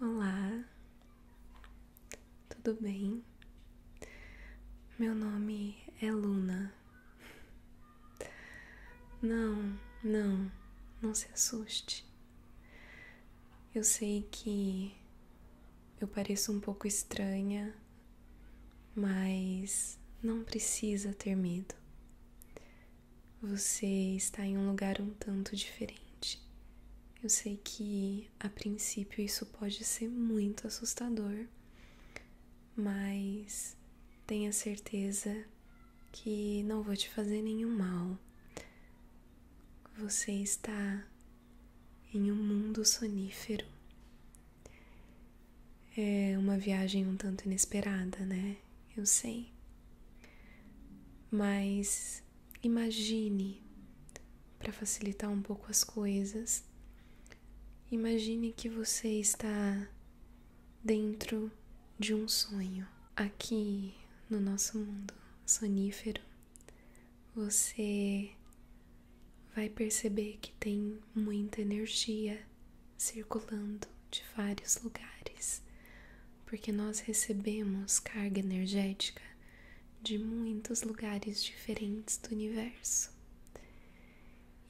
Olá, tudo bem? Meu nome é Luna. Não, não, não se assuste. Eu sei que eu pareço um pouco estranha, mas não precisa ter medo você está em um lugar um tanto diferente. Eu sei que a princípio isso pode ser muito assustador, mas tenha certeza que não vou te fazer nenhum mal. Você está em um mundo sonífero. É uma viagem um tanto inesperada, né? Eu sei. Mas imagine, para facilitar um pouco as coisas, imagine que você está dentro de um sonho. Aqui no nosso mundo sonífero, você vai perceber que tem muita energia circulando de vários lugares porque nós recebemos carga energética de muitos lugares diferentes do universo.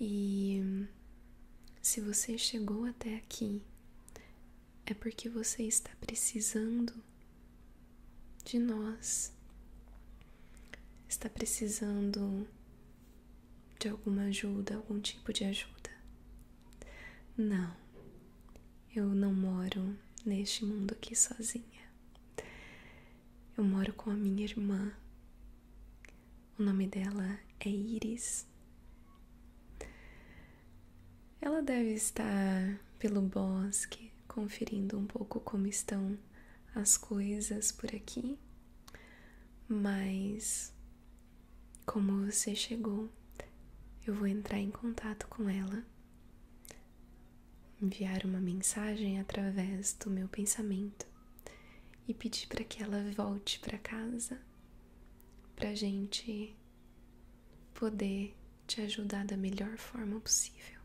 E se você chegou até aqui, é porque você está precisando de nós, está precisando de alguma ajuda, algum tipo de ajuda. Não, eu não moro neste mundo aqui sozinha. Eu moro com a minha irmã. O nome dela é Iris. Ela deve estar pelo bosque conferindo um pouco como estão as coisas por aqui, mas como você chegou, eu vou entrar em contato com ela, enviar uma mensagem através do meu pensamento e pedir para que ela volte para casa para gente poder te ajudar da melhor forma possível.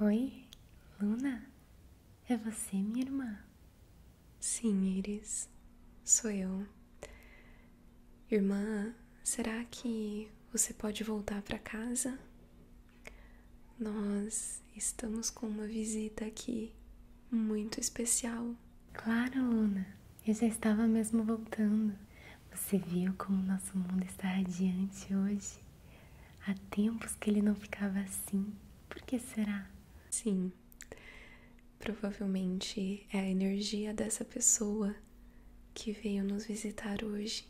Oi, Luna? É você, minha irmã? Sim, Iris, sou eu. Irmã, será que você pode voltar para casa? Nós estamos com uma visita aqui muito especial. Claro, Luna. Eu já estava mesmo voltando. Você viu como nosso mundo está radiante hoje? Há tempos que ele não ficava assim. Por que será? Sim. Provavelmente é a energia dessa pessoa que veio nos visitar hoje.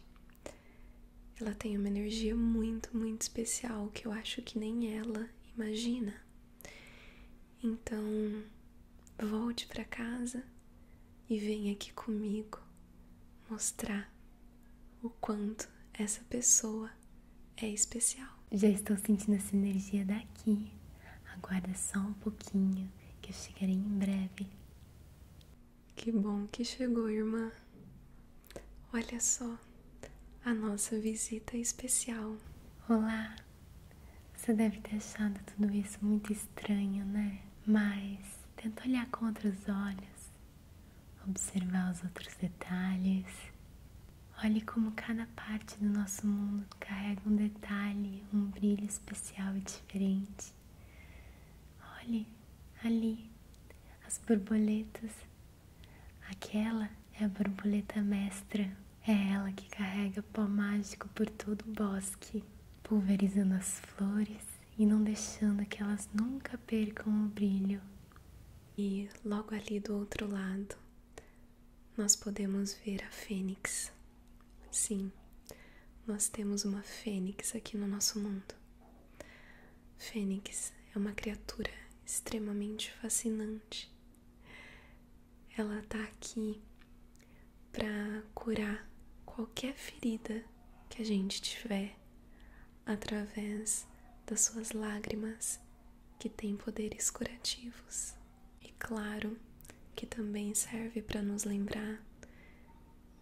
Ela tem uma energia muito, muito especial que eu acho que nem ela imagina. Então, volte para casa e venha aqui comigo mostrar o quanto essa pessoa é especial. Já estou sentindo essa energia daqui. Aguarda só um pouquinho que eu chegarei em breve. Que bom que chegou, irmã. Olha só a nossa visita especial. Olá. Você deve ter achado tudo isso muito estranho, né? Mas tenta olhar com outros olhos, observar os outros detalhes. Olhe como cada parte do nosso mundo carrega um detalhe, um brilho especial e diferente. Olhe ali as borboletas. Aquela é a borboleta mestra. É ela que carrega pó mágico por todo o bosque, pulverizando as flores e não deixando que elas nunca percam o brilho. E logo ali do outro lado, nós podemos ver a fênix. Sim, nós temos uma fênix aqui no nosso mundo. Fênix é uma criatura extremamente fascinante. Ela está aqui para curar qualquer ferida que a gente tiver através das suas lágrimas que têm poderes curativos. E claro que também serve para nos lembrar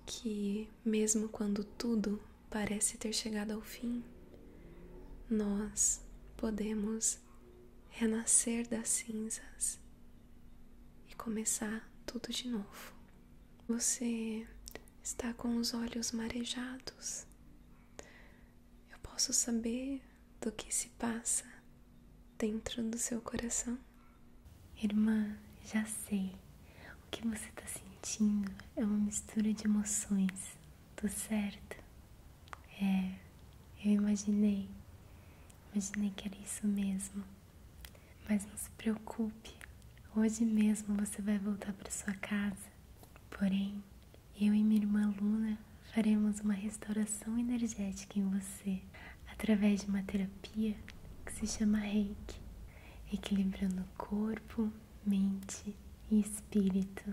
que, mesmo quando tudo parece ter chegado ao fim, nós podemos renascer das cinzas e começar tudo de novo. Você está com os olhos marejados. Eu posso saber do que se passa dentro do seu coração. Irmã, já sei. O que você está sentindo é uma mistura de emoções, tudo certo? É, eu imaginei. Imaginei que era isso mesmo. Mas não se preocupe, hoje mesmo você vai voltar para sua casa. Porém, eu e minha irmã Luna faremos uma restauração energética em você através de uma terapia que se chama Reiki, equilibrando corpo, mente e espírito.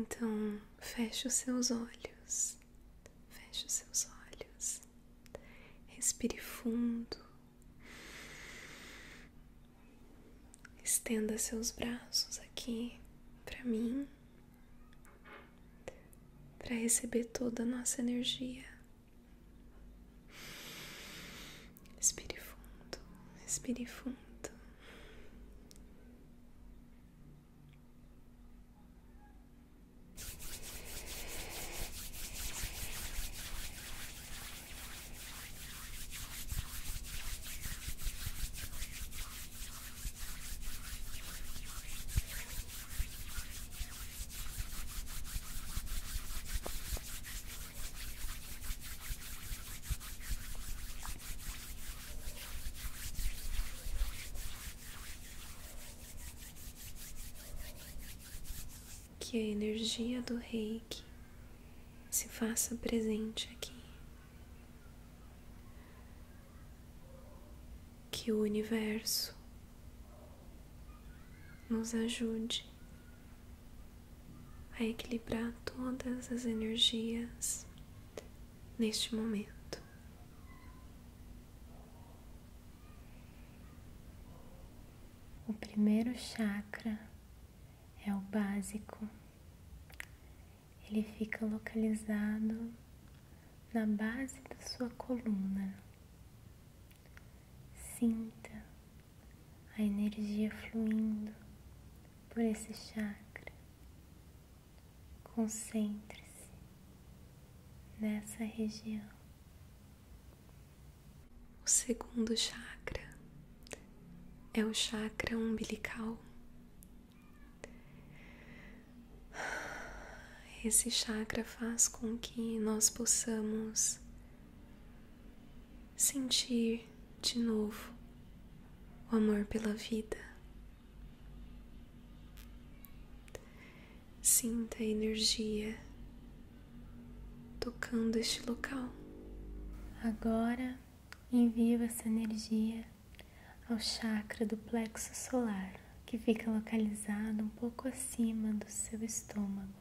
Então, feche os seus olhos, feche os seus olhos, respire fundo, estenda seus braços aqui para mim, para receber toda a nossa energia. Respire fundo, respire fundo. Que a energia do rei se faça presente aqui que o universo nos ajude a equilibrar todas as energias neste momento. O primeiro chakra é o básico. Ele fica localizado na base da sua coluna. Sinta a energia fluindo por esse chakra. Concentre-se nessa região. O segundo chakra é o chakra umbilical. Esse chakra faz com que nós possamos sentir de novo o amor pela vida. Sinta a energia tocando este local. Agora Envio essa energia ao chakra do plexo solar, que fica localizado um pouco acima do seu estômago.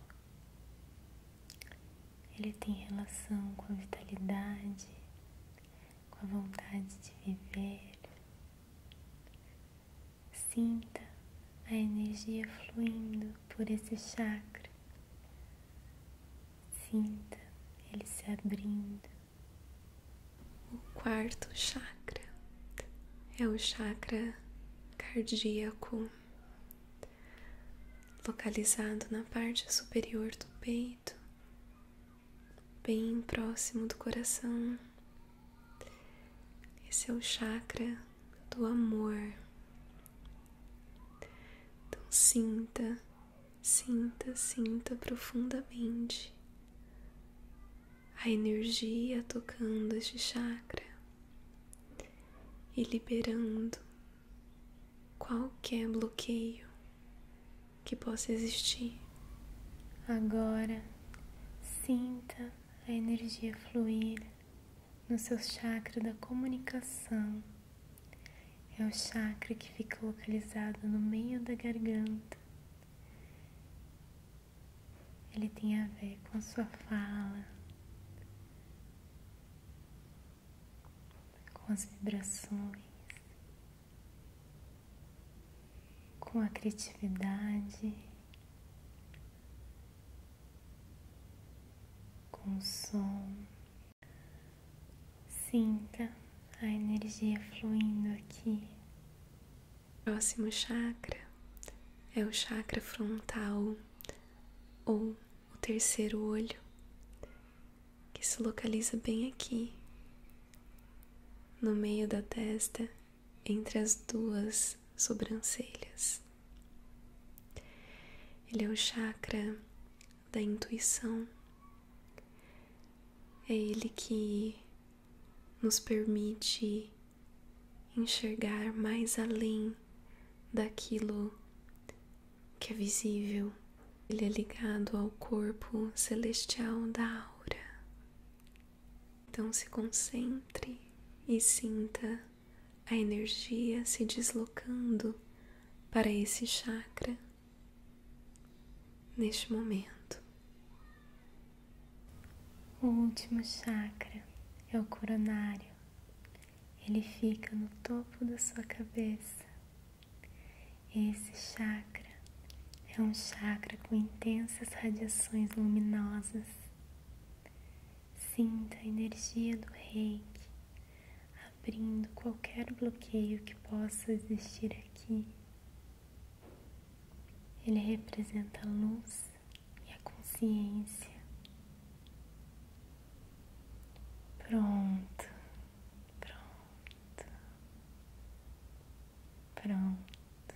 Ele tem relação com a vitalidade, com a vontade de viver. Sinta a energia fluindo por esse chakra, Sinta ele se abrindo. O quarto chakra é o chakra cardíaco, localizado na parte superior do peito, bem próximo do coração. Esse é o chakra do amor, então sinta, sinta, sinta profundamente a energia tocando este chakra e liberando qualquer bloqueio que possa existir. Agora sinta a energia fluir no seu chakra da comunicação. É o chakra que fica localizado no meio da garganta. Ele tem a ver com a sua fala, com as vibrações, com a criatividade, com o som. Sinta a energia fluindo aqui. próximo chakra é o chakra frontal ou o terceiro olho, que se localiza bem aqui, no meio da testa, entre as duas sobrancelhas. Ele é o chakra da intuição. É ele que nos permite enxergar mais além daquilo que é visível. Ele é ligado ao corpo celestial da aura. Então se concentre e sinta a energia se deslocando para esse chakra neste momento. O último chakra é o coronário. Ele fica no topo da sua cabeça. Esse chakra é um chakra com intensas radiações luminosas. Sinta a energia do reiki abrindo qualquer bloqueio que possa existir aqui. Ele representa a luz e a consciência. Pronto, pronto, pronto.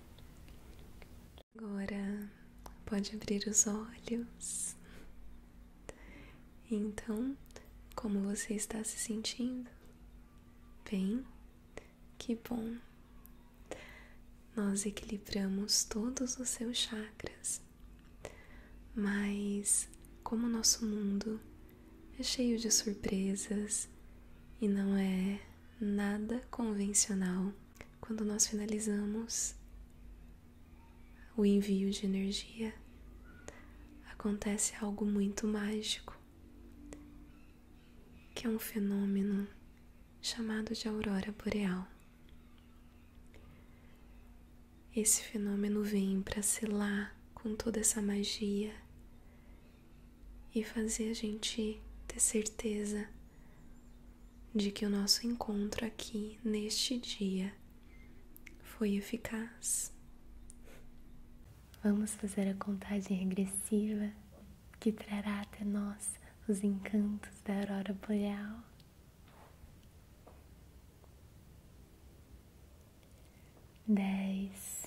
Agora pode abrir os olhos. Então, como você está se sentindo? Bem, que bom. Nós equilibramos todos os seus chakras, mas como o nosso mundo é cheio de surpresas e não é nada convencional quando nós finalizamos o envio de energia, acontece algo muito mágico, que é um fenômeno chamado de aurora boreal. Esse fenômeno vem para selar com toda essa magia e fazer a gente ter certeza de que o nosso encontro aqui neste dia foi eficaz. Vamos fazer a contagem regressiva que trará até nós os encantos da aurora boreal. Dez,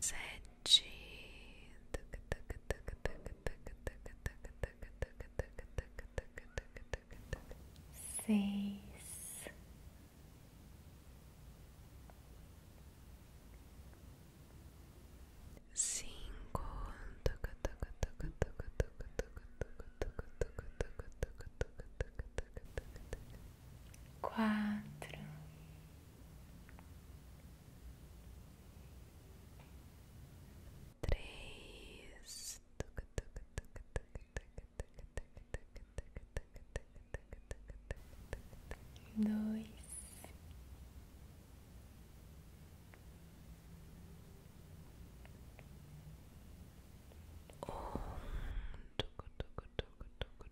sete seis cinco quatro três dois um